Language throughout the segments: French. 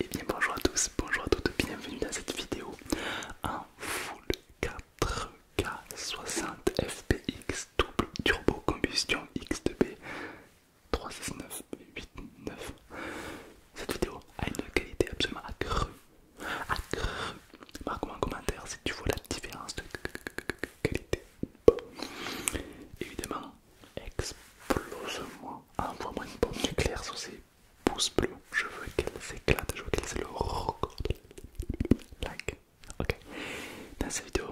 Et eh bien bonjour à tous, bonjour à toutes, bienvenue dans cette vidéo en full 4K 60 FPX double turbo combustion X2B 369 Cette vidéo a une qualité absolument accrue, accrue. Marque-moi en commentaire si tu vois la différence de qualité. Évidemment, Explose-moi. Envoie-moi une bombe nucléaire sur ces pouces bleus. Je veux qu'elle s'éclate. Je veux qu'elle c'est le record. Like. Ok. Dans cette vidéo,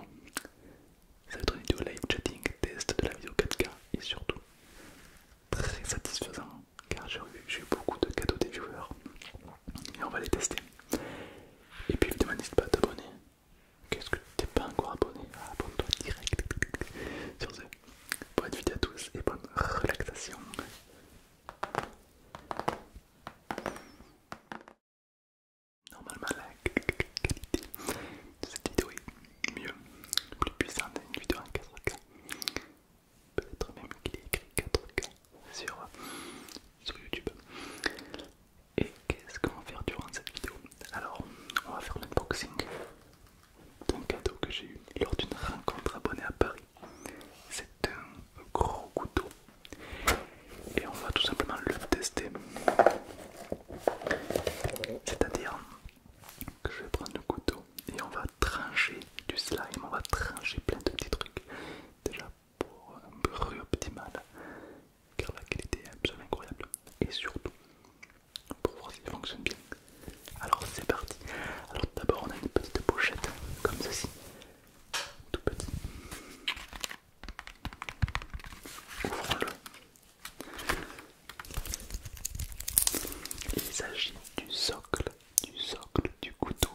ça va être une vidéo live chatting, test de la vidéo 4K et surtout très satisfaisant car j'ai eu, beaucoup de cadeaux des viewers et on va les tester. Et puis évidemment demandez pas à t'abonner Qu'est-ce que t'es pas encore abonné Abonne-toi direct. Sur ce, bonne vidéo à tous et bonne relaxation. Normalement, la qualité de cette vidéo est mieux, plus puissante d'une vidéo en 4K. Peut-être même qu'il est écrit 4K sur YouTube. Et qu'est-ce qu'on va faire durant cette vidéo Alors, on va faire l'unboxing d'un cadeau que j'ai eu lors d'une rencontre abonnée à Paris. C'est un gros couteau. Et on va tout simplement le tester. C'est-à-dire que je vais prendre le couteau et on va trancher du slime, on va trancher plein de petits trucs. Déjà pour un bruit optimal, car la qualité est absolument incroyable et surtout pour voir s'il fonctionne bien. Alors c'est parti. Alors d'abord on a une petite pochette comme ceci, tout petit. Ouvrons-le. Il s'agit du socle, du socle du couteau.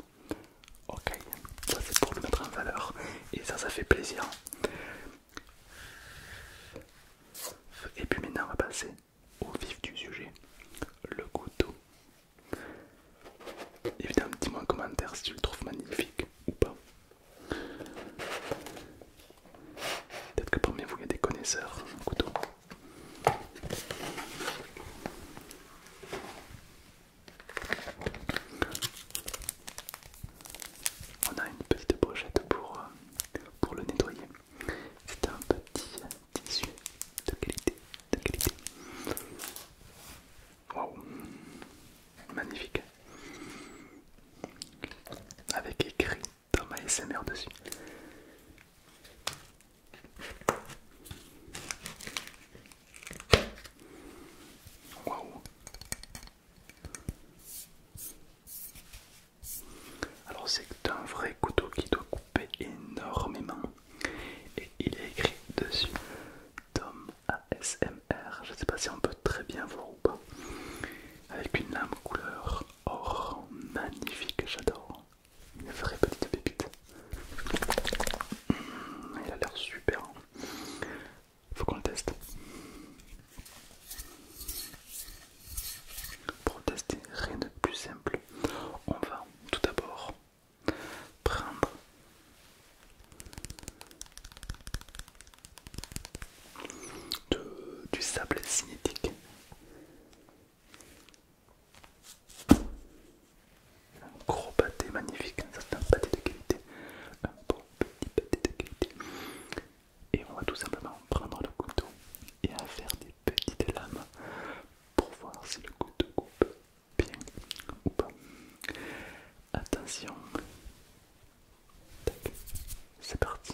Ok, ça c'est pour le mettre en valeur et ça ça fait plaisir. Et puis maintenant on va passer au vif du sujet, le couteau. Évidemment, dis-moi en commentaire si tu le trouves magnifique ou pas. Peut-être que parmi vous il y a des connaisseurs en couteau. On a une petite brochette euh, pour, le nettoyer. C'est un petit tissu de qualité. De qualité. Waouh, magnifique. Avec écrit dans ma SMR dessus. Waouh, alors c'est un vrai couteau qui doit couper énormément et il est écrit dessus Tom ASMR, je ne sais pas si on peut très bien voir ou pas, avec une lame couleur or magnifique, j'adore, une vraie petite pépite. Il a l'air super. Faut qu'on le teste. Pour tester, rien de plus simple. On va tout d'abord prendre du sable cinétique. Un gros pâté magnifique, c'est un pâté de qualité. Et on va tout simplement prendre le couteau et en faire des petites lames pour voir si le couteau coupe bien ou pas. Attention, c'est parti.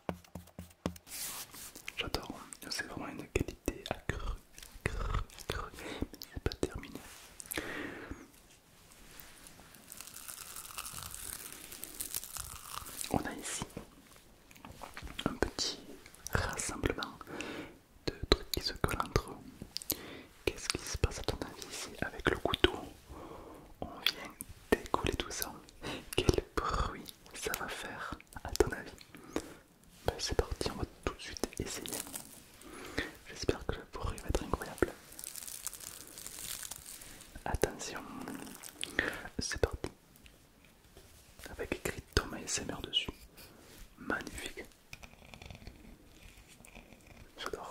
J'adore, c'est vraiment une qualité accrue, accrue, accrue, mais pas terminé. On a ici un petit rassemblement de trucs qui se collent entre eux. Qu'est-ce qui se passe à ton avis ici avec le couteau On vient d'écouler tout ça. Quel bruit ça va faire a à ton avis bah, C'est parti, on va tout de suite essayer. J'espère que le bruit va être incroyable. Attention, c'est parti. Avec écrit Thomas SMR dessus. Magnifique. J'adore.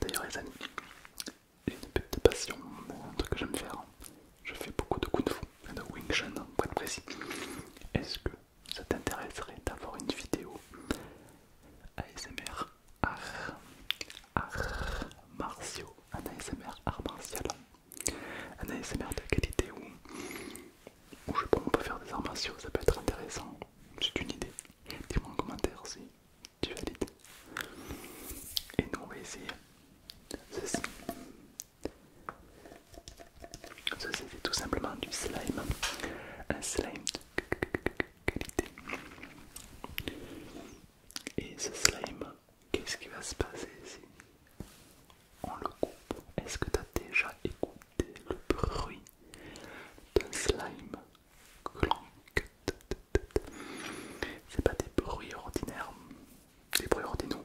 D'ailleurs les amis, j'ai une petite passion, un truc que j'aime faire. Je fais beaucoup de coups de Fu, de Wing Chun pour être précis. Est-ce que ça t'intéresserait d'avoir une vidéo ASMR art, art martiaux, un ASMR art martial, un ASMR de qualité où, je je pense on peut faire des arts martiaux, ça peut être intéressant, c'est une idée. Dis-moi en commentaire si tu valides. Et nous on va essayer ceci. Ceci c'est tout simplement du slime. Un slime et ce slime, qu'est-ce qui va se passer si On le coupe. Est-ce que tu as déjà écouté le bruit d'un slime C'est pas des bruits ordinaires, des bruits ordinaux.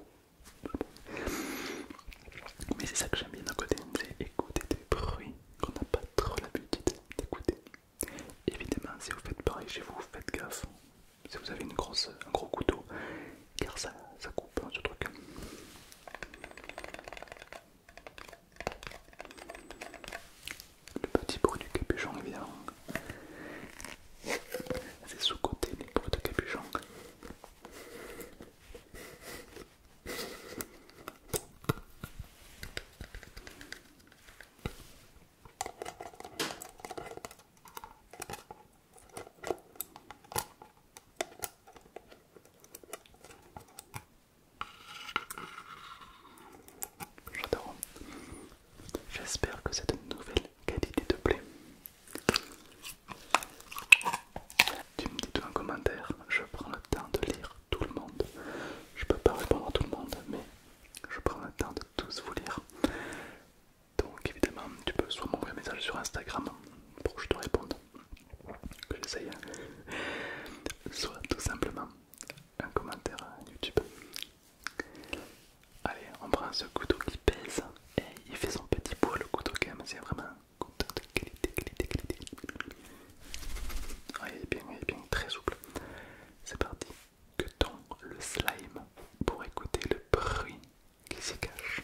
Mais c'est ça que j'aime bien d'un côté, c'est écouter des bruits qu'on n'a pas trop l'habitude d'écouter. Évidemment, si vous faites pareil chez vous, faites gaffe. Si vous avez une grosse, un gros couteau, car ça, ça coupe hein, ce truc. Le petit bruit du capuchon, évidemment. C'est sous-côté les bruits de capuchon. J'espère que cette nouvelle qualité te plaît. Tu me dis tout en commentaire, je prends le temps de lire tout le monde. Je peux pas répondre à tout le monde, mais je prends le temps de tous vous lire. Donc évidemment, tu peux soit m'envoyer un message sur Instagram pour que je te réponde, que j'essaye, hein. soit tout simplement un commentaire YouTube. Allez, on prend ce couteau qui pèse et il fait son petit poids, le couteau quand c'est vraiment Contact de qualité, qualité, qualité. Ah, il est bien, il est bien, très souple. C'est parti. Que t'en le slime pour écouter le bruit qui s'y cache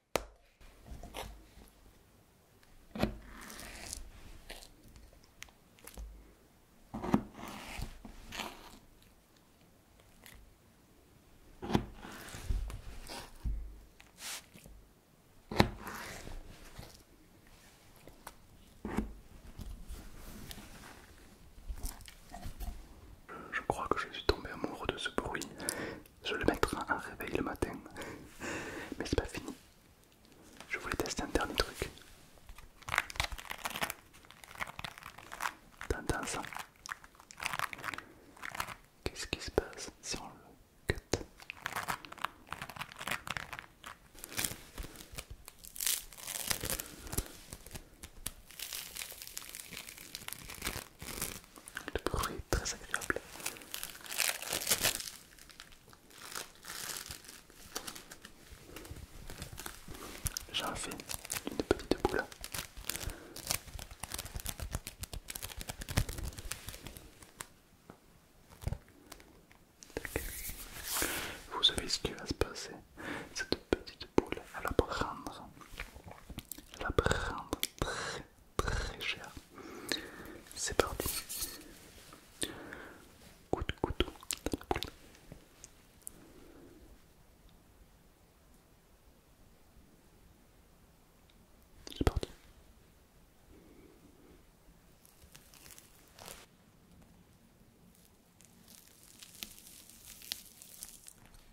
Je crois que je suis tombé amoureux de ce bruit je le mettrai en réveil le matin. Mais c'est pas fini. Je voulais tester un dernier truc. T'entends Qu'est-ce qui se passe si on le cut le bruit est très agréable. J'en fais une petite boule. Vous savez ce qui va se passer. Cette petite boule, elle va prendre, elle va prendre très très cher. C'est parti. Coup de couteau C'est parti.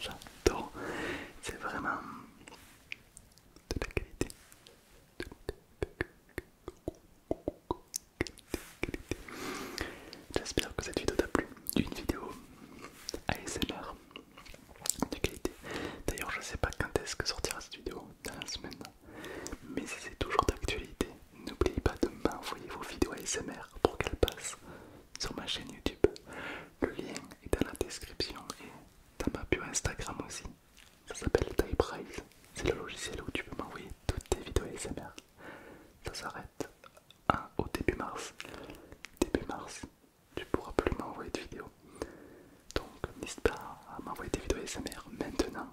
J'adore, c'est vraiment de la qualité. J'espère que cette vidéo t'a plu, une vidéo ASMR de qualité. D'ailleurs, je sais pas quand est-ce que sortira cette vidéo dans la semaine, mais c'est toujours d'actualité, N'oubliez pas de m'envoyer vos vidéos ASMR pour qu'elles passent sur ma chaîne YouTube. Le lien est dans la description et dans ma bio Instagram aussi. Ça s'appelle TypeRise. C'est le logiciel où tu peux m'envoyer toutes tes vidéos ASMR. Ça s'arrête au début mars. Début mars, tu pourras plus m'envoyer de vidéos. Donc n'hésite pas à m'envoyer des vidéos ASMR maintenant